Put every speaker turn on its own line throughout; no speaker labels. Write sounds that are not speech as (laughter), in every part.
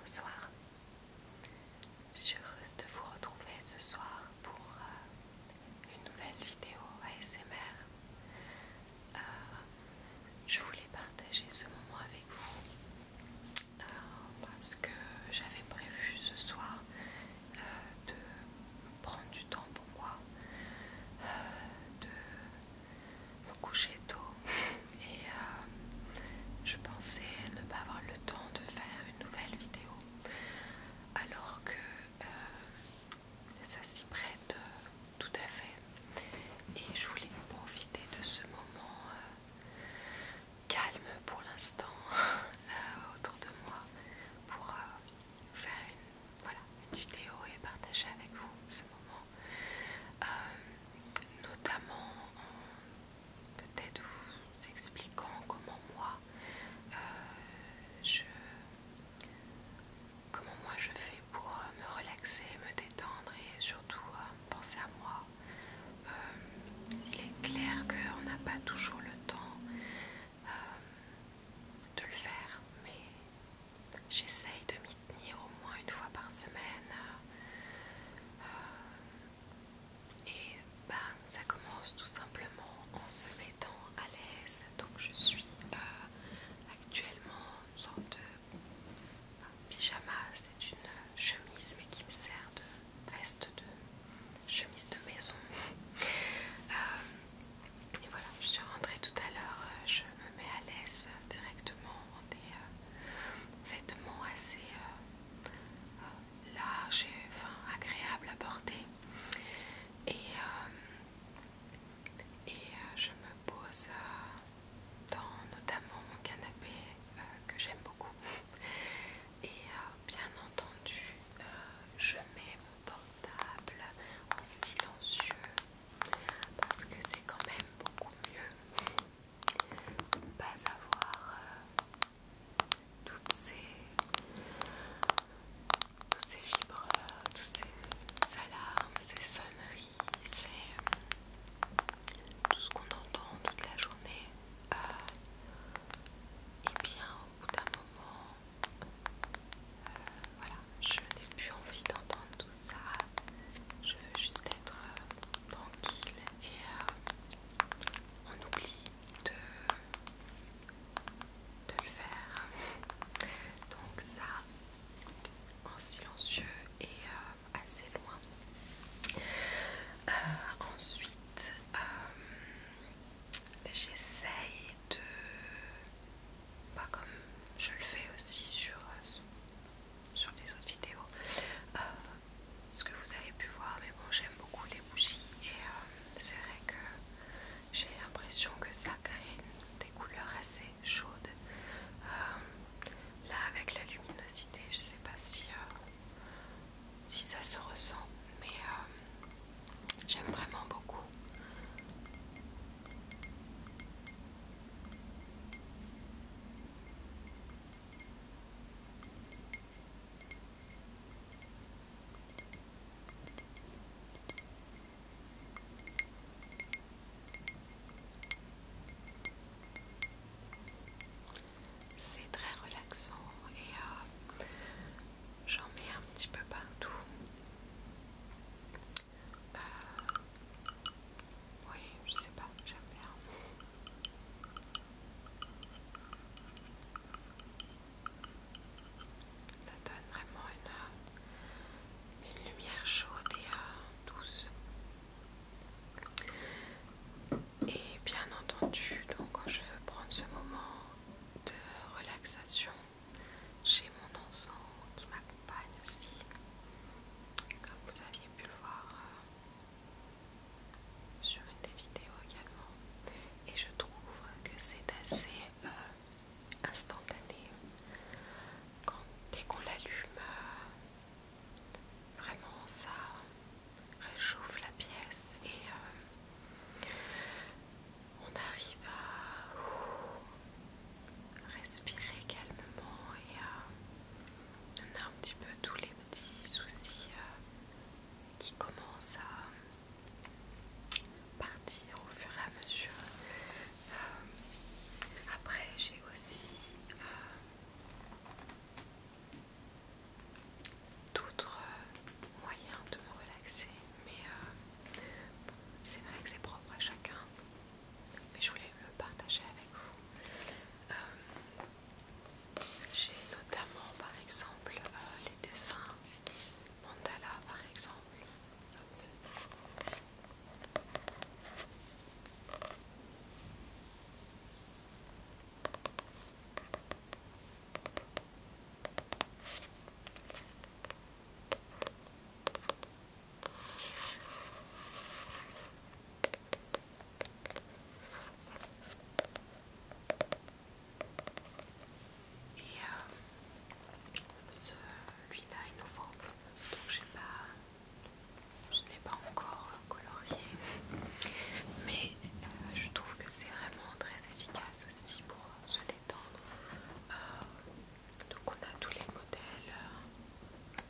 Bonsoir, je suis heureuse de vous retrouver ce soir pour euh, une nouvelle vidéo ASMR. Euh, je voulais partager ce moment avec vous euh, parce que j'avais prévu ce soir de prendre du temps moi euh, de me coucher tôt et euh, je pensais ne pas avoir le temps de faire une nouvelle vidéo alors que euh, ça s'y prête tout à fait et je voulais profiter de ce moment calme pour l'instant (laughs) autour de moi pour faire une voilà, une vidéo est partagée avec vous ce moment. Euh, notamment en peut-être vous expliquant comment moi euh, je comment moi je fais pour euh, me relaxer, me détendre et surtout penser à moi. il est clair qu'on n'a pas toujours le temps euh, de le faire, mais j'essaye de m'y tenir au moins une fois par semaine. Euh, et ben, ça commence tout simplement en se mettant à l'aise. Donc je suis euh, actuellement en sorte de pyjama, c'est une chemise mais qui me sert de veste de chemise de maison. Et voilà, je suis rentrée tout à l'heure, euh, je me mets à l'aise directement en des euh, vêtements assez euh, larges et agréables à porter. Et, je me pose dans notamment mon canapé que j'aime beaucoup. (laughs) Et bien entendu, je mets mon porte en silencieux, parce que c'est quand même beaucoup mieux de ne pas avoir euh, toutes ces, toutes ces fibres, toutes ces alarmes, ces sonneries, c'est tout ce qu'on entend toute la journée. Euh, et bien, au bout d'un moment, euh, voilà, je n'ai plus envie d'entendre tout ça. Je veux juste être euh, tranquille et on euh, oublie de, le faire. (laughs) Donc ça, en silencieux et assez loin. ensuite, j'essaye de pas comme je le fais aussi sur, euh, sur les autres vidéos euh, ce que vous avez pu voir mais bon j'aime beaucoup les bougies et euh, c'est vrai que j'ai l'impression que ça crée des couleurs assez chaudes là avec la luminosité je sais pas si, si ça se ressent mais J'aime vraiment beaucoup. C'est très relaxant et euh, J'en mets un petit peu partout. Euh, oui, je sais pas, j'aime Ça donne vraiment une, euh, lumière chaude et euh, douce. Et bien entendu, donc je veux prendre ce moment de relaxation chez mon enfant qui m'accompagne aussi comme vous aviez pu le voir euh, sur une des vidéos également et je trouve que c'est assez euh, instantané Quand, dès qu'on l'allume euh, vraiment ça réchauffe la pièce et on arrive à respirer calmement et à on a un petit peu tous les petits soucis euh, qui commencent à partir au fur et à mesure. Euh, après j'ai aussi euh, d'autres euh, moyens de me relaxer, mais euh, c'est vrai que c'est propre à chacun, mais je voulais le partager avec vous. Euh, j'ai notamment par exemple les dessins mandala par exemple, et ce euh, celui-là est nouveau, donc j'ai pas, je n'ai pas encore colorié, mais euh, je trouve que c'est vraiment très efficace aussi pour euh, se détendre. Euh, donc on a tous les modèles,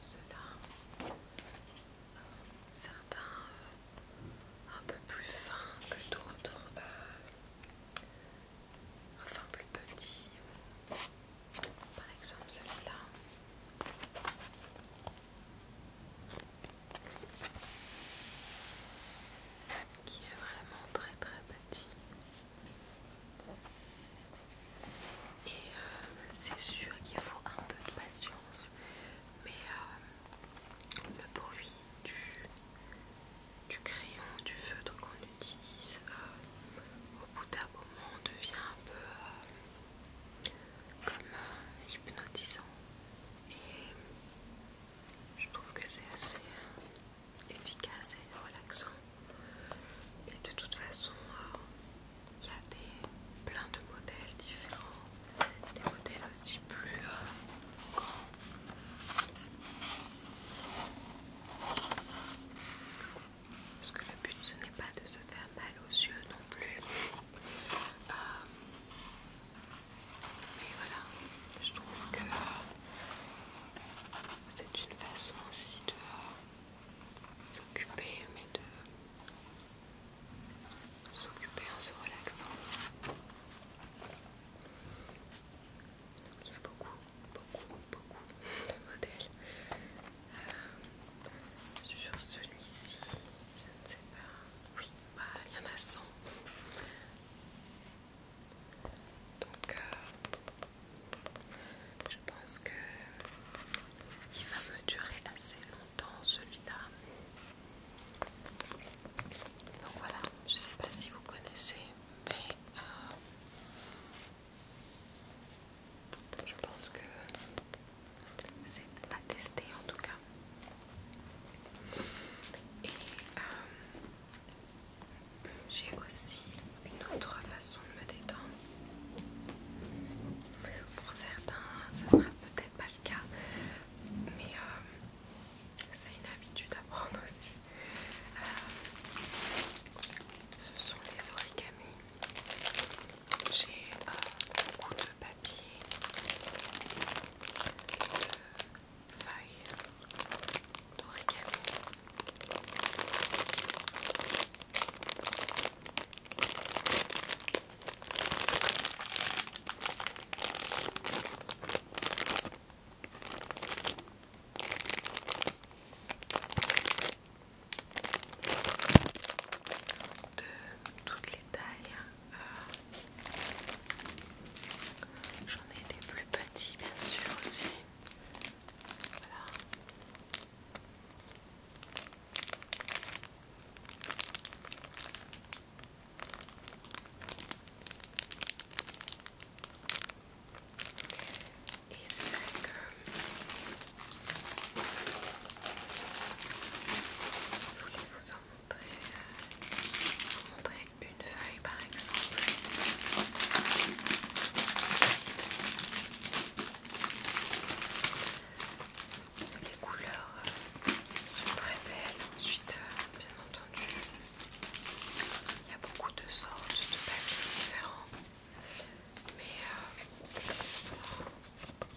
ceux-là, certains un peu plus fins que d'autres, enfin plus petits, par exemple celui-là qui est vraiment très très petit. Et euh, c'est sûr qu'il faut un peu de patience, mais euh, le bruit du, du crayon, du feutre qu'on utilise euh, au bout d'un moment devient un peu comme hypnotisant. Et je trouve que c'est assez efficace et relaxant. Et de toute façon, euh, il y a plein de modèles différents, des modèles aussi plus euh, grands. Parce que le but ce n'est pas de se faire mal aux yeux non plus. Euh, mais voilà, je trouve que euh, c'est une façon aussi de euh, s'occuper, mais de s'occuper en se relaxant. il y a beaucoup, beaucoup, beaucoup de modèles. Euh, sur celui-ci, je ne sais pas. Oui, voilà, bah, il y en a 100. Donc, euh, je pense que il va me durer assez longtemps celui-là. Donc voilà, je sais pas si vous connaissez, mais euh, je pense que c'est à tester en tout cas. Et euh, j'ai aussi une autre façon de me détendre. Pour certains, ça sera peut-être pas le cas, mais euh, c'est une habitude à prendre aussi. Euh, ce sont les origamis. J'ai beaucoup de papier de feuilles d'origami. de toutes les tailles J'en ai des plus petits, bien sûr, aussi. Voilà. Et c'est vrai que je voulais vous je montrer, vous montrer une feuille par exemple. Les couleurs euh, sont très belles. Ensuite, euh, bien entendu, il y a beaucoup de sortes de papiers différents. Mais euh, et euh,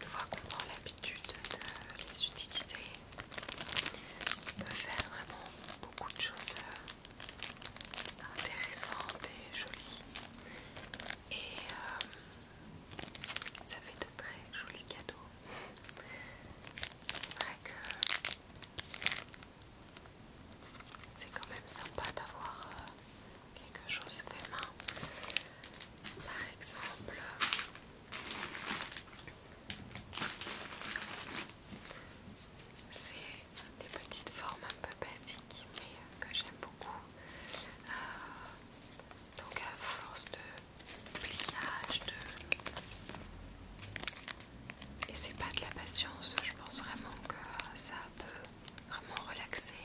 une fois qu'on prend l'habitude de les utiliser, on peut faire vraiment beaucoup de choses. Euh, intéressante et jolie. Et euh, ça fait de très jolis cadeaux. C'est vrai que c'est quand même sympa d'avoir euh, quelque chose fait main. Par exemple, c'est des petites formes un peu basiques mais euh, que j'aime beaucoup. Euh, donc à force de pliage, de... et c'est pas de la patience, je pense vraiment que ça peut vraiment relaxer.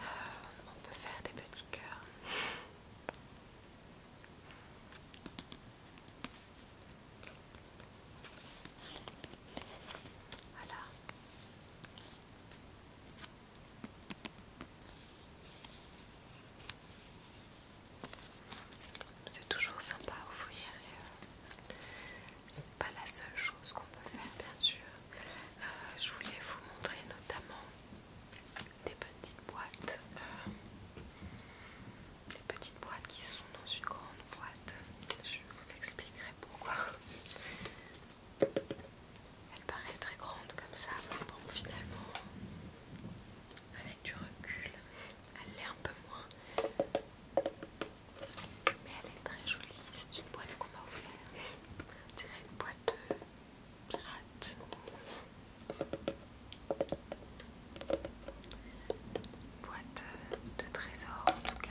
Euh, on peut faire des petits cœurs. Voilà. C'est toujours sympa à ouvrir et c'est pas la seule chose qu'on peut faire bien sûr. Euh, je voulais vous montrer notamment des petites boîtes euh, des petites boîtes qui sont dans une grande boîte. Je vous expliquerai pourquoi. Elle paraît très grande comme ça, mais bon, finalement, avec du recul, elle l'est un peu moins. Mais elle est très jolie, c'est une boîte qu'on m'a offert C'est une boîte de pirate boîte de trésors en tout cas.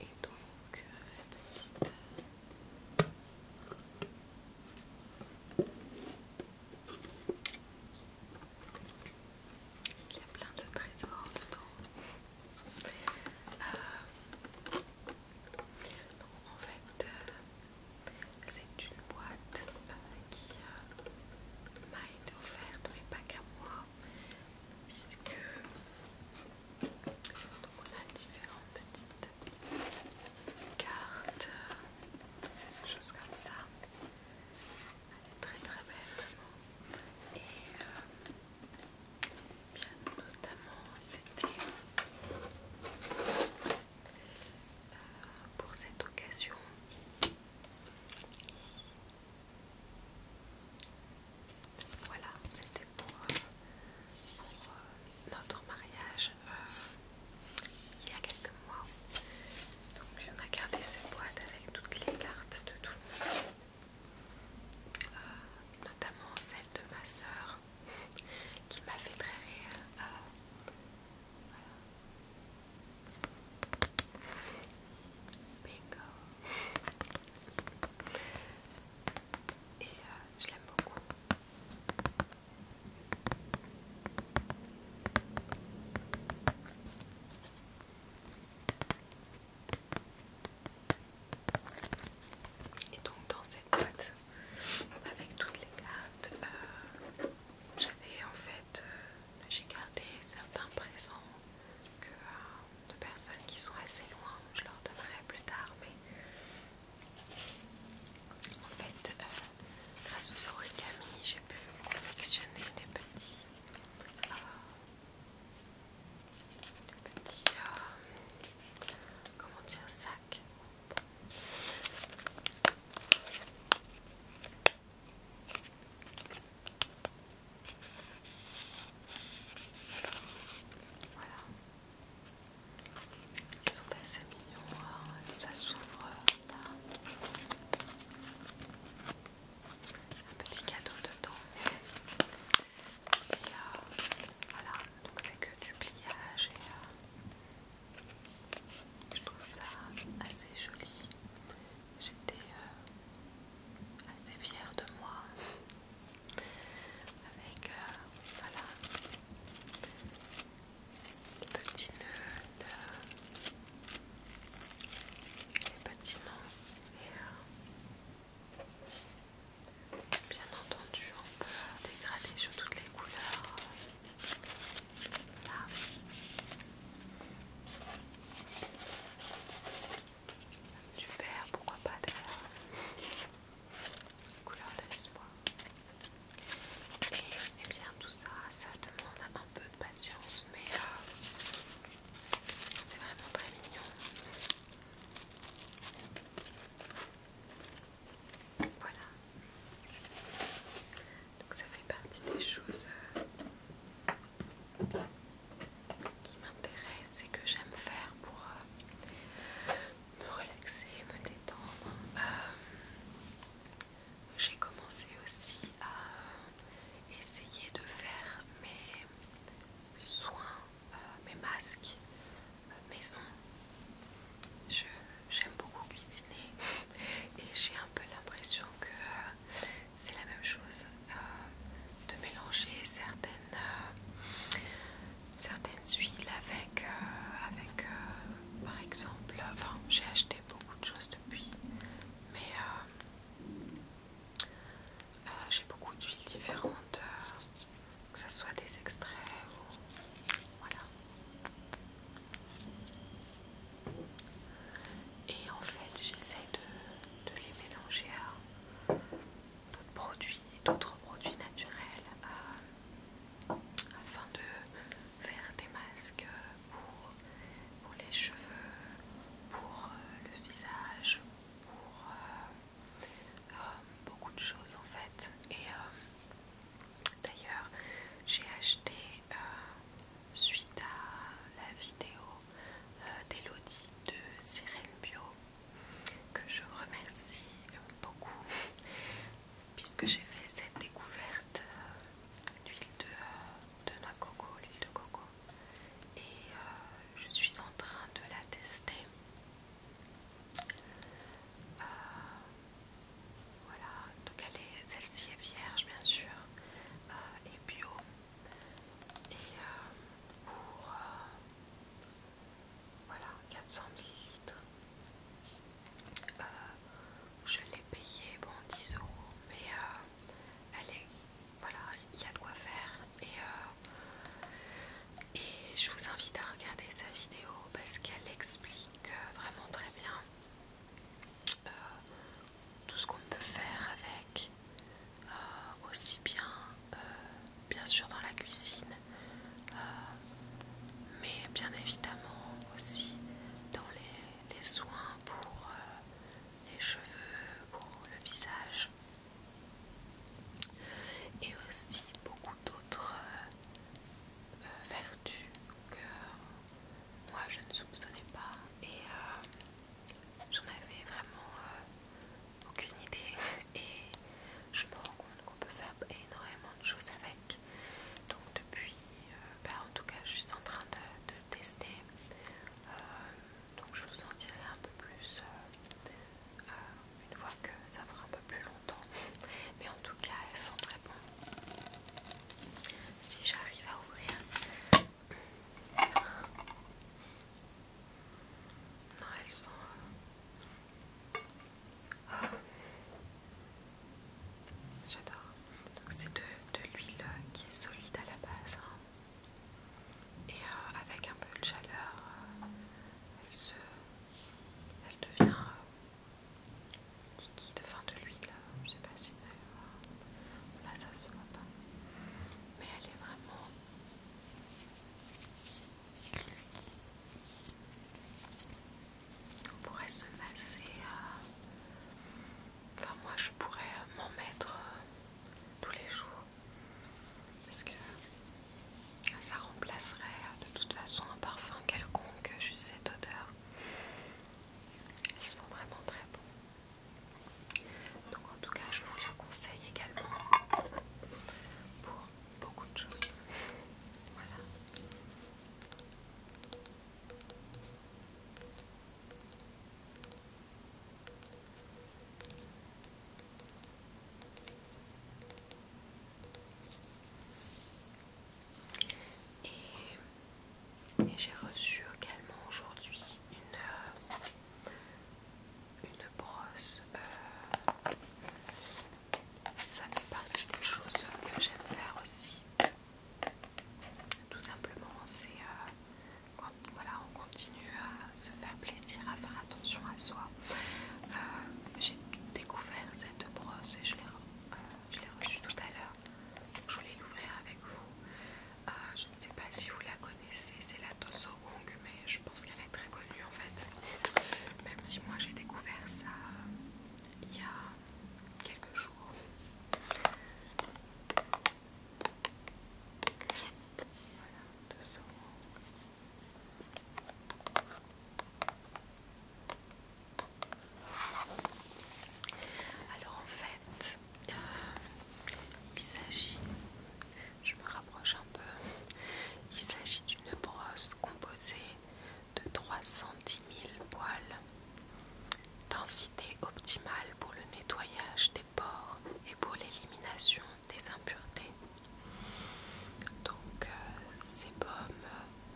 Et donc euh, Il y a plein de trésors dedans. Euh, en fait, euh, c'est une boîte qui euh, m'a été offerte, mais pas qu'à moi, puisque on a différentes petites cartes, quelque euh, choses comme ça. Elle est très très belle vraiment. Et euh, bien notamment c'était pour cette occasion. Voilà, c'était pour, euh, euh, notre mariage euh, il y a quelques mois. Donc on a gardé cette boîte avec toutes les cartes de tout notamment celle de ma sœur qui m'a fait très rire et euh, je l'aime beaucoup. Et donc dans cette boîte, avec toutes les cartes, euh, j'avais en fait euh, j'ai gardé certains présents euh, de personnes qui sont assez loin, je leur donnerai plus tard, mais en fait, euh, grâce aux origami, j'ai pu confectionner des petits. petits. comment dire, sacs. Voilà. Ils sont assez mignons, hein. ça s'ouvre là. Un petit cadeau dedans. Et euh, voilà, donc c'est que du pliage et euh, je trouve ça assez joli. J'étais euh, assez fière de moi avec euh, voilà les petits nœuds, les petits noms et euh, bien entendu on peut dégrader sur toutes les couleurs. Du vert, pourquoi pas de la Couleur de l'espoir. Et, eh bien tout ça, ça demande un peu de patience, mais euh, c'est vraiment très mignon. Voilà. Donc ça fait partie des choses euh, qui m'intéressent et que j'aime faire pour euh, me relaxer, me détendre. Euh, j'ai commencé aussi à essayer de faire mes soins, mes masques maison. Je j'aime beaucoup cuisiner et j'ai un peu l'impression que euh, c'est la même chose euh, de mélanger certaines, euh, certaines huiles avec, avec par exemple, j'ai acheté beaucoup de choses depuis mais j'ai beaucoup d'huiles différentes, que ce soit des extraits ou voilà. Et en fait, j'essaie de, les mélanger à d'autres produits, d'autres produits naturels, afin de faire des masques pour, les cheveux, pour euh, le visage, pour euh, euh, beaucoup de choses en fait. D'ailleurs, j'ai acheté, euh, suite à la vidéo euh, d'Elodie de Sirène Bio, que je remercie beaucoup, (laughs) puisque j'ai fait cette découverte euh, d'huile de, noix de coco, l'huile de coco, et je suis en train de la tester. Voilà, donc celle-ci est vierge bien sûr euh, et bio. Et euh, pour euh, voilà 400 ml, je l'ai payée bon 10 euros, mais elle est voilà, il y a de quoi faire. Et, et je vous invite à regarder sa vidéo parce qu'elle explique vraiment très bien euh, tout ce qu'on peut faire avec, euh, aussi bien euh, bien sûr dans la cuisine, mais bien évidemment aussi dans les, soins pour les cheveux, pour le visage et aussi beaucoup d'autres vertu que moi je ne soupçonnais pas et euh, j'en avais vraiment euh, aucune idée (laughs) et je me rends compte qu'on peut faire énormément de choses avec donc depuis euh, bah, en tout cas je suis en train de, tester donc je vous en dirai un peu plus une fois que ça fera un peu plus longtemps (laughs) mais en tout cas elles sont très bonnes si j'arrive à ouvrir. Non, elles sont. Euh, oh. J'adore. Donc, c'est de, l'huile qui est solide à la base. Hein. Et euh, avec un peu de chaleur, euh, elle, se, elle devient de fin de l'huile, je sais pas si là ça se voit pas, mais elle est vraiment on pourrait se masser enfin moi je pourrais euh, m'en mettre euh, tous les jours parce que ça remplacerait euh, de toute façon un parfum quelconque, juste cette odeur. Ils sont vraiment très bons. Donc en tout cas, je vous le conseille également pour beaucoup de choses. Voilà. Et, j'ai reçu également aujourd'hui une, euh, une brosse. Euh, ça fait partie des choses que j'aime faire aussi. Tout simplement, c'est euh, quand voilà, on continue à se faire plaisir, à faire attention à soi. j'ai découvert cette brosse et je l'ai je l'ai reçue tout à l'heure, je voulais l'ouvrir avec vous. Euh, je ne sais pas si vous la connaissez, c'est la Dosso Wong, mais je pense qu'elle est très connue en fait. Même si moi j'ai découvert ça euh, il y a quelques jours. Voilà, alors en fait, euh, il s'agit, je me rapproche un peu, il s'agit d'une brosse composée de 310 000 poils, densité optimale pour le nettoyage des pores et pour l'élimination des impuretés. Donc c'est euh, sébum,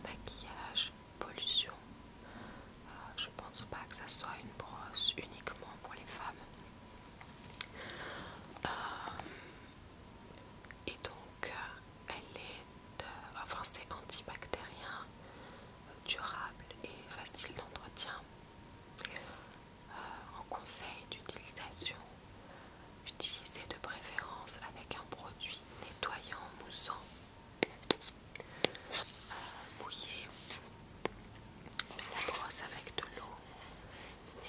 maquillage, pollution. Je euh, je pense pas que ça soit une brosse uniquement pour les femmes. Euh, et donc elle est, enfin c'est antibactérien, durable et facile d'entretien. en conseil d'utilisation, Utilisez de préférence avec un produit nettoyant, moussant, euh, Mouiller La brosse avec de l'eau.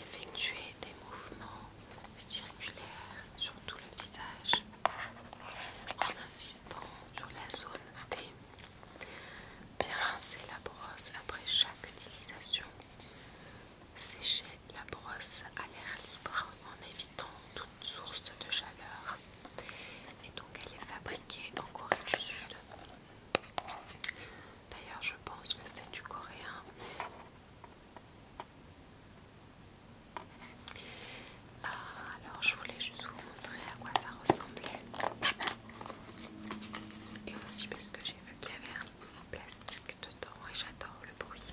effectuer des mouvements circulaires sur tout le visage en insistant sur la zone T. Bien rincer la brosse après chaque utilisation sécher la brosse à l'air libre en évitant toute source de chaleur. Et donc elle est fabriquée en Corée du Sud. D'ailleurs je pense que c'est du coréen. Ah, alors je voulais juste vous montrer à quoi ça ressemblait. Et aussi parce que j'ai vu qu'il y avait plastique dedans et j'adore le bruit.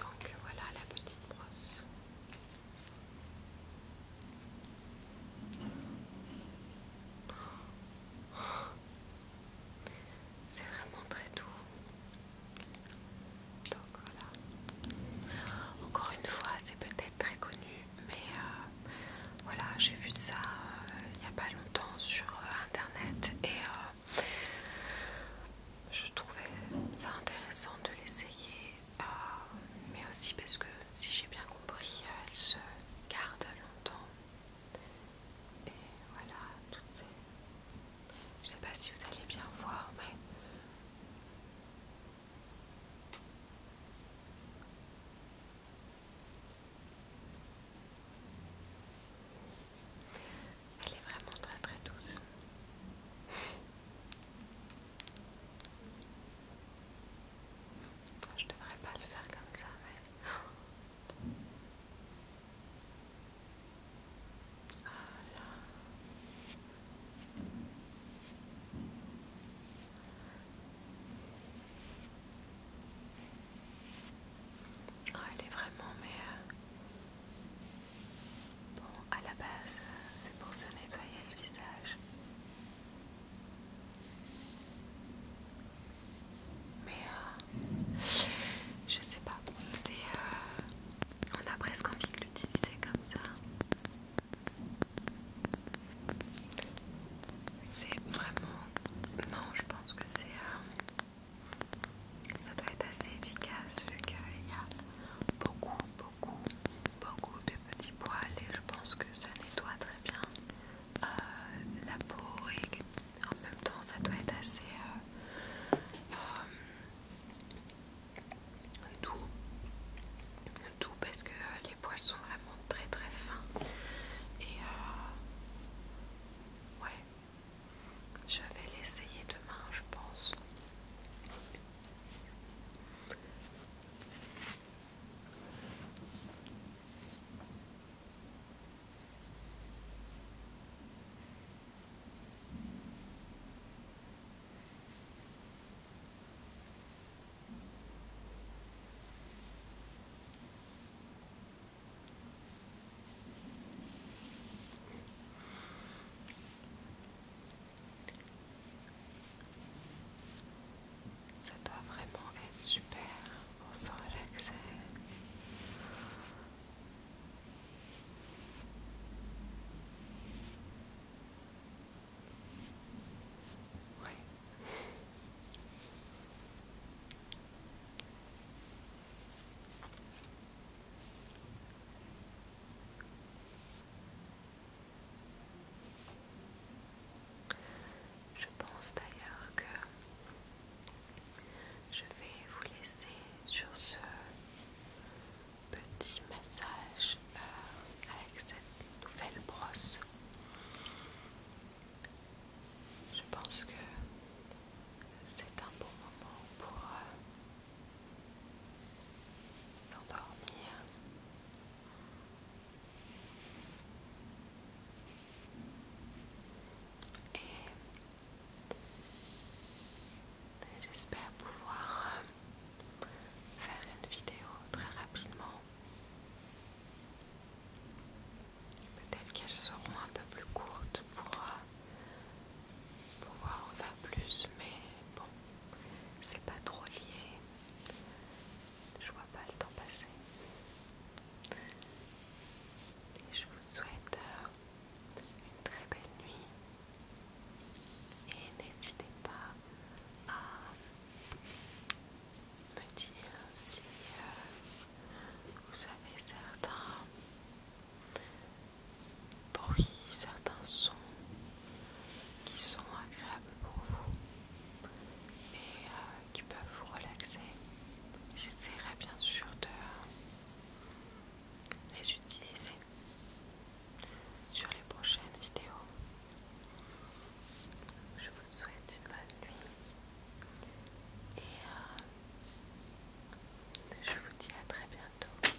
Donc voilà la petite brosse. C'est vraiment très doux. Donc voilà. Encore une fois, c'est peut-être très connu, mais euh, voilà, j'ai vu ça euh, il n'y a pas longtemps sur euh, internet et je trouvais ça intéressant de l'essayer, euh, mais aussi parce que si j'ai bien compris, euh, elle se garde longtemps. Et voilà, tout Je sais pas si vous allez bien voir, mais... Elle est vraiment très très douce. Je devrais pas le faire comme ça, ah ah, elle est vraiment, mais euh, bon, à la base, euh, c'est pour se nettoyer le visage. Mais euh, je sais pas, c'est on a presque envie de l'utiliser comme ça. C'est vraiment non, je pense que c'est. Ça doit être assez efficace vu qu'il y a beaucoup, beaucoup, beaucoup de petits poils et je pense que ça nettoie très bien euh, la peau et en même temps ça doit être assez euh, euh, doux, doux parce que les poils sont vraiment très très fins et Ouais. Je vais l'essayer demain, je pense. Ça doit vraiment être super pour se relaxer. Oui. Je pense d'ailleurs que je vais vous laisser sur ce petit massage euh, avec cette nouvelle brosse je pense que c'est un bon moment pour euh, s'endormir. Et j'espère pouvoir euh, faire une vidéo très rapidement Peut-être qu'elles seront un peu plus courtes pour euh, pouvoir en faire plus, mais bon, c'est pas trop lié. Je vois pas le temps passer. je vous souhaite euh, une très belle nuit. Et n'hésitez pas à me dire si euh, vous avez certains bruits, certains sons qui sont agréables pour vous et euh, qui peuvent vous relaxer. J'essaierai bien sûr de les utiliser sur les prochaines vidéos. Je vous souhaite une bonne nuit. Et euh, je vous dis à très bientôt.